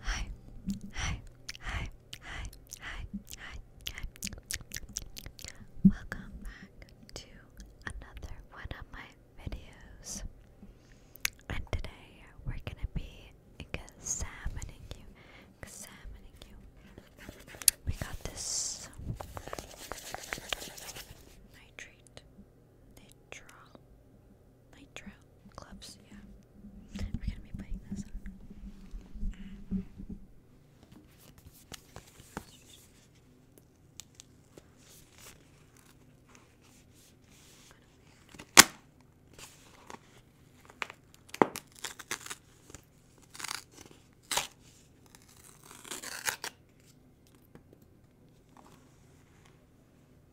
Hi, hi, hi, hi, hi, hi, hi. Welcome back to another one of my videos. And today we're gonna be examining you, examining you. We got this nitrate, nitrile, nitro clubs, yeah. We're gonna be putting those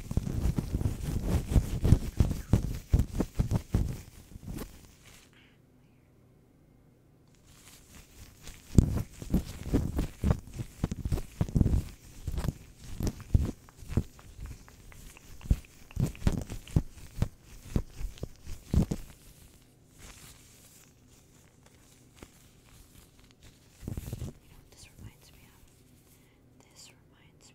You know what this reminds me of? This reminds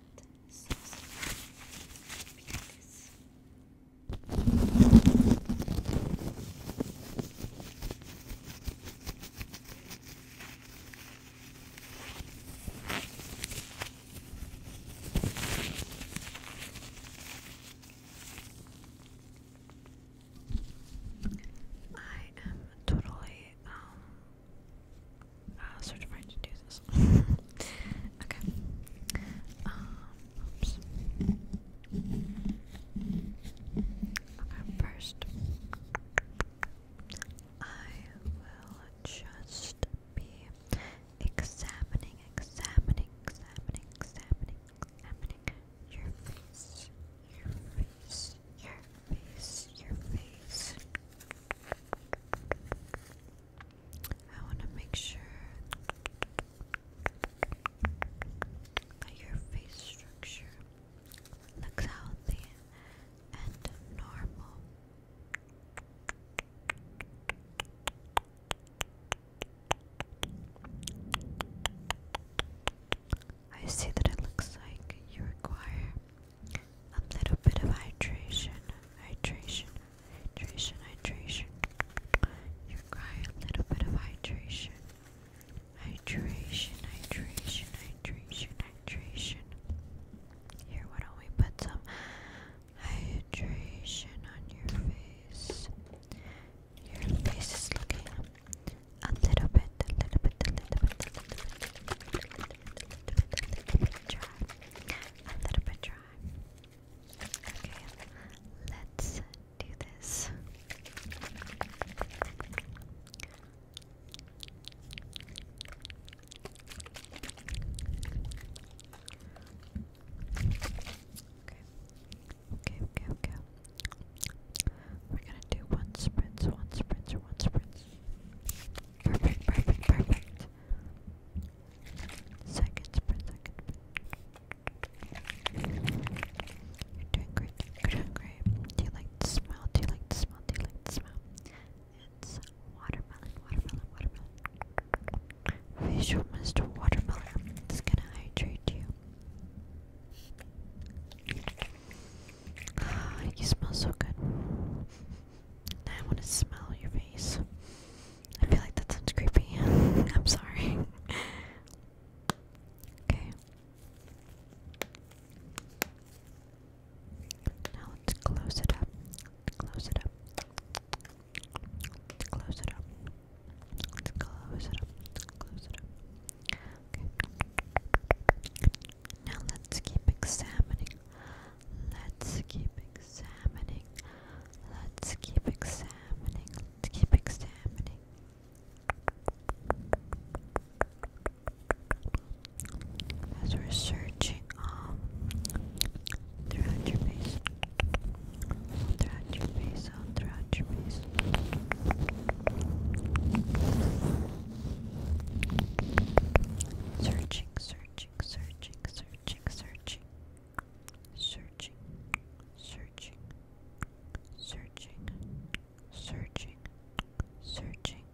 so I am totally um, uh, certified to do okay. Um, Okay, first, I will just be examining, examining, examining, examining, examining your face, your face, your face, your face. I want to make sure that your face structure looks healthy and normal. I see that it looks like you require a little bit of hydration, hydration, hydration, hydration. You require a little bit of hydration. Hydration, hydration, hydration, hydration. Here, why don't we put some hydration on your face? Your face is looking a little bit, a little bit, a little bit, a little bit, a little bit, a little bit, a little bit, bit dry. A little bit dry. Okay, let's do this. Okay. Okay, okay, okay. We're gonna do one spritz, one spritz, or one spritz. Perfect, perfect, perfect. Seconds per second. You're doing great. You're doing great. Do you like the smell? Do you like the smell? Do you like the smell? It's watermelon, watermelon, watermelon. Visual mist watermelon. It's gonna hydrate you. You smell so good. I want to smell your face. I feel like that sounds creepy. I'm sorry. okay. Now let's close it up. Close it up. close it up. Let's close it up. Let's close it up. Okay. Now let's keep examining. Let's keep examining. Let's keep examining. keep examining. As we're searching um, throughout your face, throughout your face, oh, throughout your face. Searching searching, searching, searching, searching, searching, searching, searching, searching, searching, searching,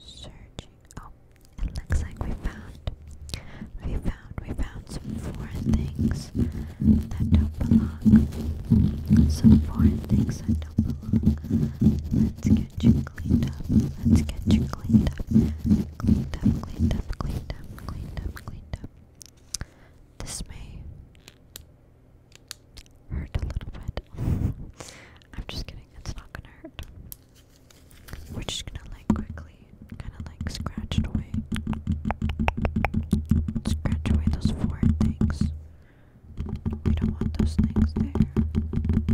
searching. Oh, it looks like we found, we found, we found some foreign things that don't belong. Some foreign things that don't belong. Let's get get you cleaned up. Let's get you cleaned up. Cleaned up, cleaned up, cleaned up, cleaned up, cleaned up. This may hurt a little bit. I'm just kidding, it's not gonna hurt. We're just gonna like quickly kind of like scratch away. Scratch away those foreign things. We don't want those things there.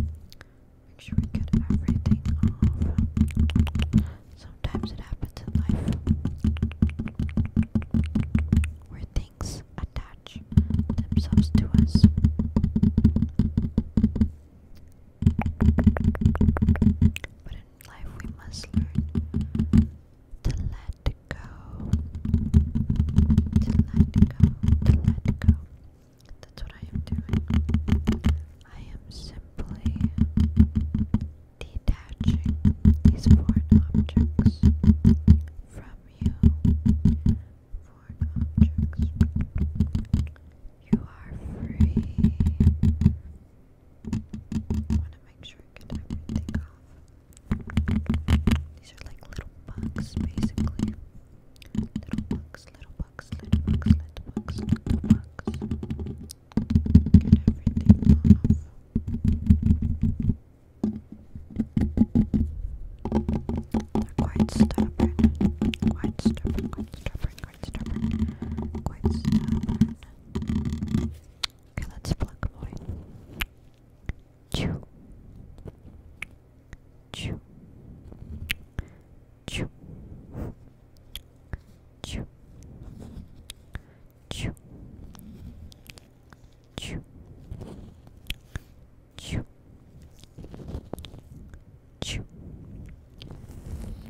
Make sure we get everything off. Sometimes it happens in life where things attach themselves to us. But in life, we must learn to let go. To let go. To let go. That's what I am doing. I am simply detaching these four objects from you. Foreign objects. You are free. I want to make sure I get everything off. These are like little bugs, basically. Little bugs, little bugs, little bugs, little bugs, little bugs. Get everything off. They're quite stubborn. Quite stubborn, quite stubborn, quite stubborn. Quite stubborn. Okay, let's pluck boy. Chew. Choo.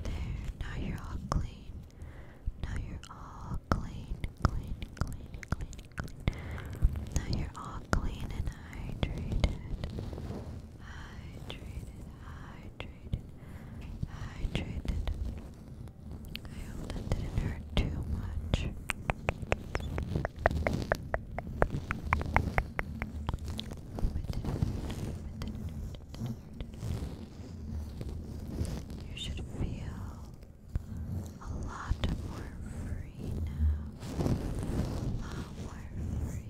There, now you're all clean. Now you're all clean, clean, clean, clean, clean. Now you're all clean and hydrated hydrated, hydrated, hydrated. I hope that didn't hurt too much. You should feel a lot more free now. Oh, we free.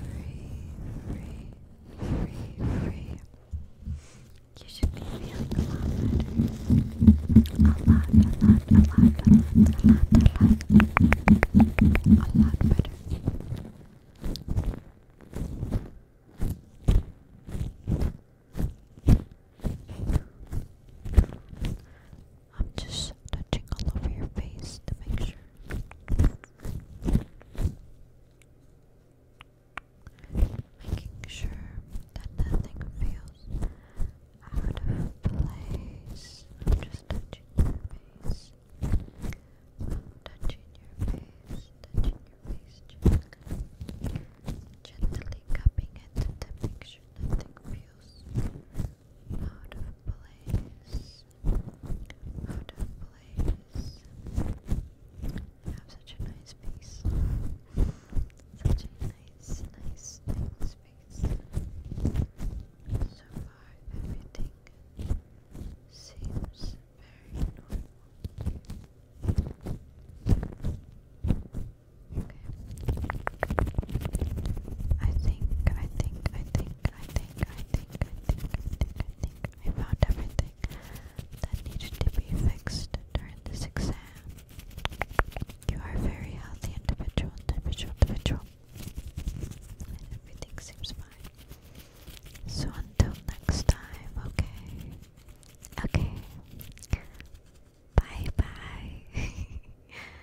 Free, free, free, free. You should be feeling A lot, a lot, a lot, a lot, a lot, a lot. A lot better. I'm just touching all over your face to make sure. Making sure that nothing feels out of place. just touching your face. touching your face, touching your face Gently cupping it to make sure nothing feels out of place, out of place. have such a nice space, such a nice, nice, nice space. So far, everything seems very normal. Okay. I think, I think, I think, I think, I think, I think, I think, I think, I found everything that needed to be fixed during this exam. You are a very healthy individual, individual, individual. And everything seems fine. So until next time, okay? Okay. Bye bye.